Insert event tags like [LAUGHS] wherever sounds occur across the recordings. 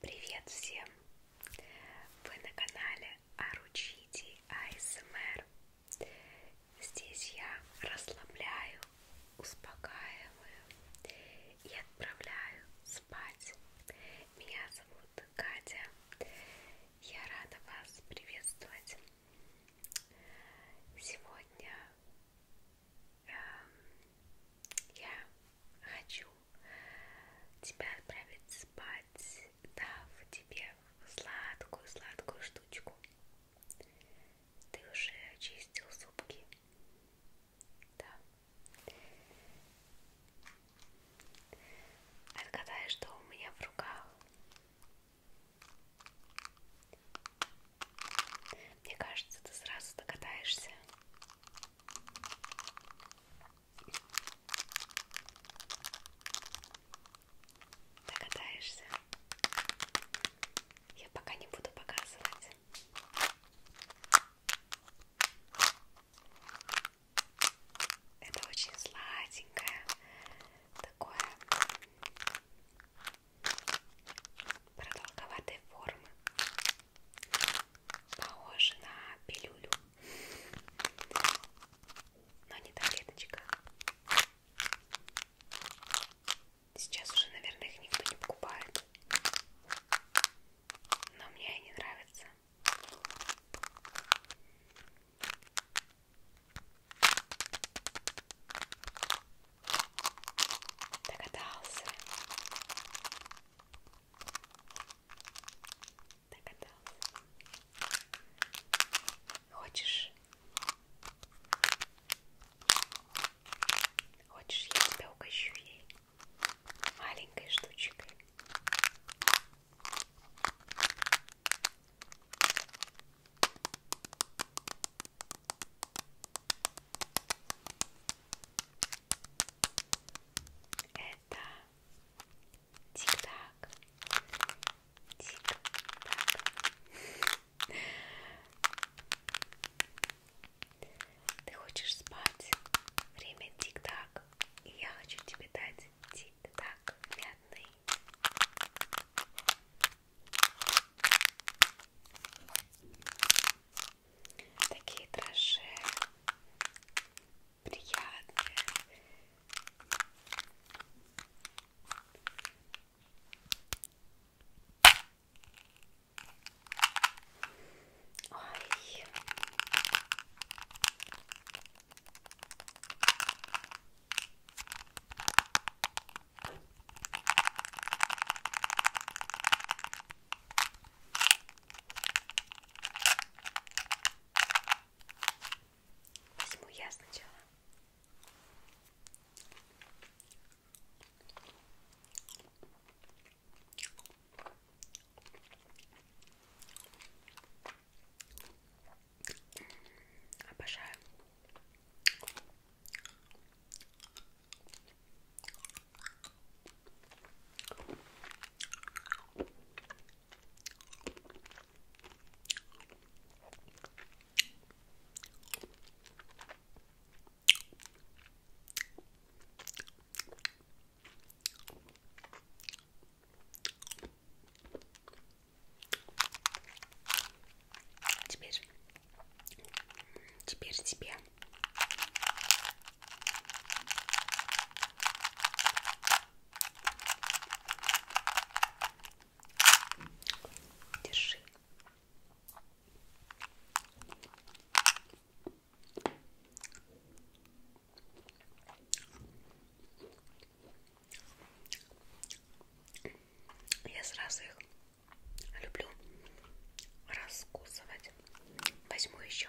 Привет всем! Вы на канале Аручити АСМР. Здесь я расслабляю, успокаиваю и отправляю спать. Меня зовут Катя. Я рада вас приветствовать. Сегодня эм, я хочу тебя отправит спать, дав тебе сладкую-сладкую штучку. Ты уже очистил зубки. Да. Отгадай, что у меня в руках. Мне кажется, ты сразу догадаешься. Догадаешься? Я пока не буду показывать. Это очень сладенькое, такое продолговатой формы похоже на пилюлю, но не таблеточка. Сейчас уже, наверное, их никто не покупает, но мне они нравятся. Догадался. Догадался. Хочешь? Хочешь, я тебя угощу ей маленькой штучкой? Это тик-так, тик-так. [LAUGHS] Ты хочешь спать? Время тик-так. И я хочу тебе дать тик-так мятный такие дрожжи приятные Ой. Возьму я сначала. Обожаю. Теперь, теперь тебе Держи. Я сразу их люблю раскусывать. Возьму еще.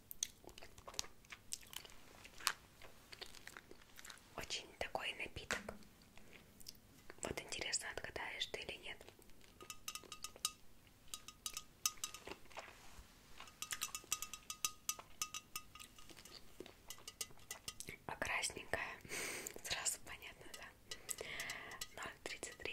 Очень такой напиток. Вот интересно, отгадаешь ты или нет. А красненькая, [LAUGHS] сразу понятно, да? 0,33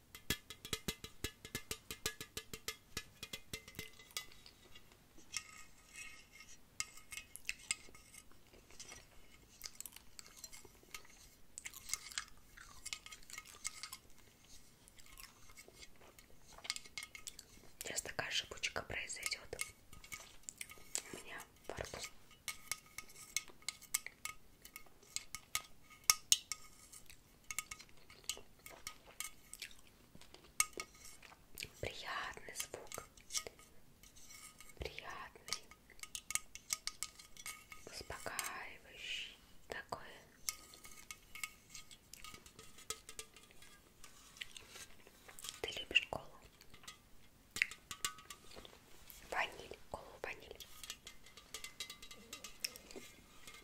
Сейчас такая шипучка произойдет у меня во рту. Приятный звук. Приятный. Успокаивающий. Такой. Ты любишь колу? Ваниль, колу ваниль.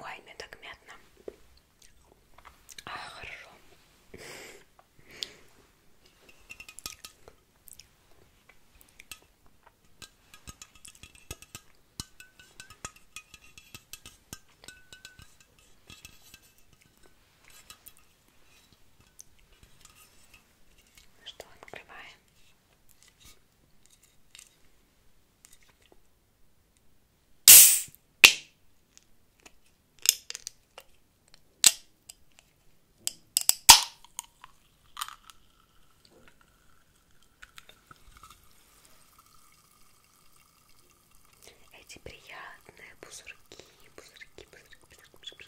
Ой, мне так мятно. А, хорошо. Ну что, открываем. Эти приятные пузырьки, пузырьки, пузырьки, пузырьки, пузырьки,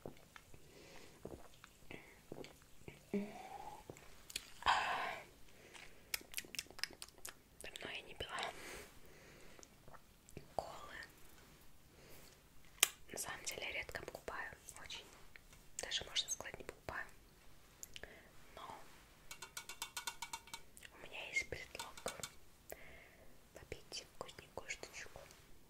Давно я не пила колы. На самом деле я редко покупаю, очень, даже можно сказать не покупаю. Но у меня есть предлог попить вкусненькую штучку.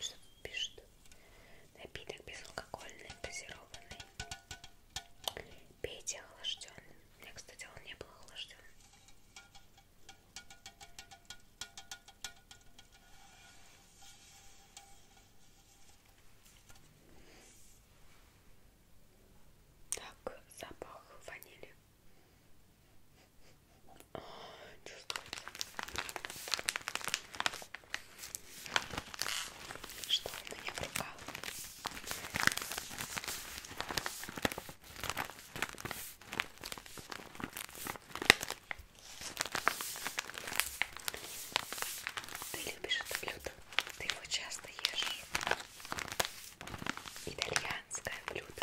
Что тут пишут? Напиток безалкогольный, газированный. Пейте охлажденный. У меня, кстати, он не был охлажден. Так, запах ванили. О, чувствуется. Что у меня в руках? Ты любишь это блюдо? Ты его часто ешь? Итальянское блюдо.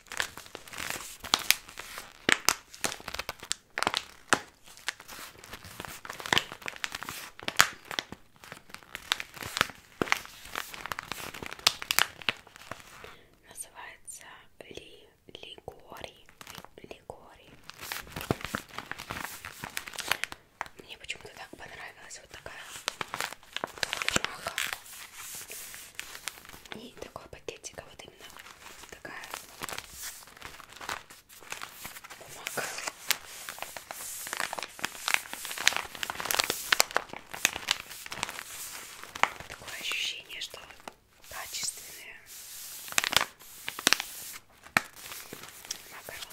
Называется Ли Лигори. Лигори. Мне почему-то так понравилась вот такая бумага. И такой пакетик. А вот вот именно такая бумага. Такое ощущение, что качественные макароны.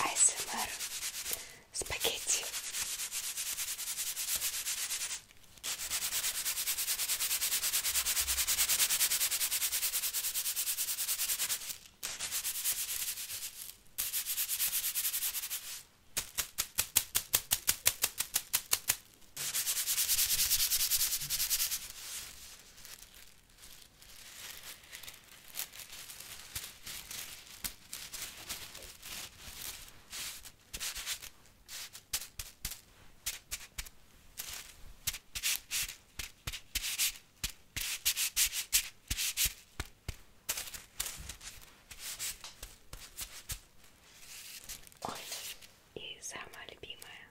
АСМР спагетти. Ой, и самая любимая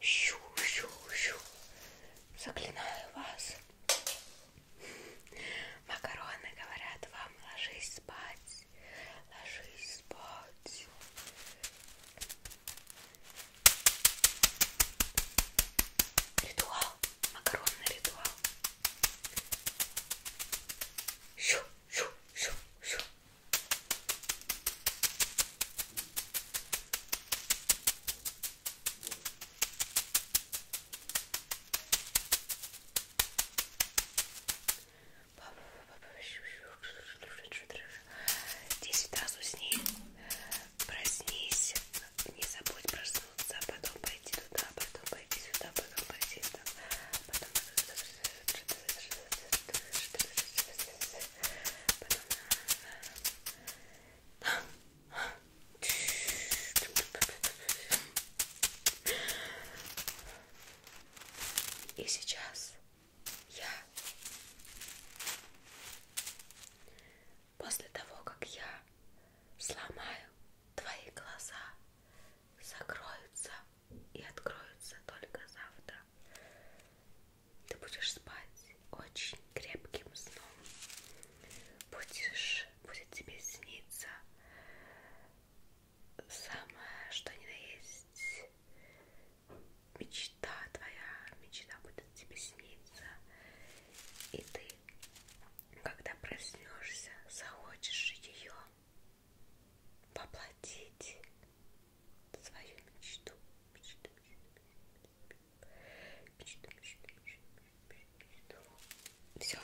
Щу-щу-щу. Заклинаю вас. Макароны говорят вам, ложись спать. Ложись спать. Ритуал. Макаронный ритуал. Щу-щу-щу-щу. Десять раз усни, проснись, не забудь проснуться, потом пойти туда, потом пойти сюда, потом пойти сюда, потом туда, и сейчас я после того, как я сломаю твои глаза, закроются и откроются только завтра. Ты будешь спать очень крепким сном. Будешь, будет тебе сниться самое, что ни на есть мечта твоя, мечта будет тебе сниться. И ты, когда проснешься, захочешь ее воплотить свою мечту. Мечту, мечту, мечту, мечту, мечту, мечту, мечту. Все.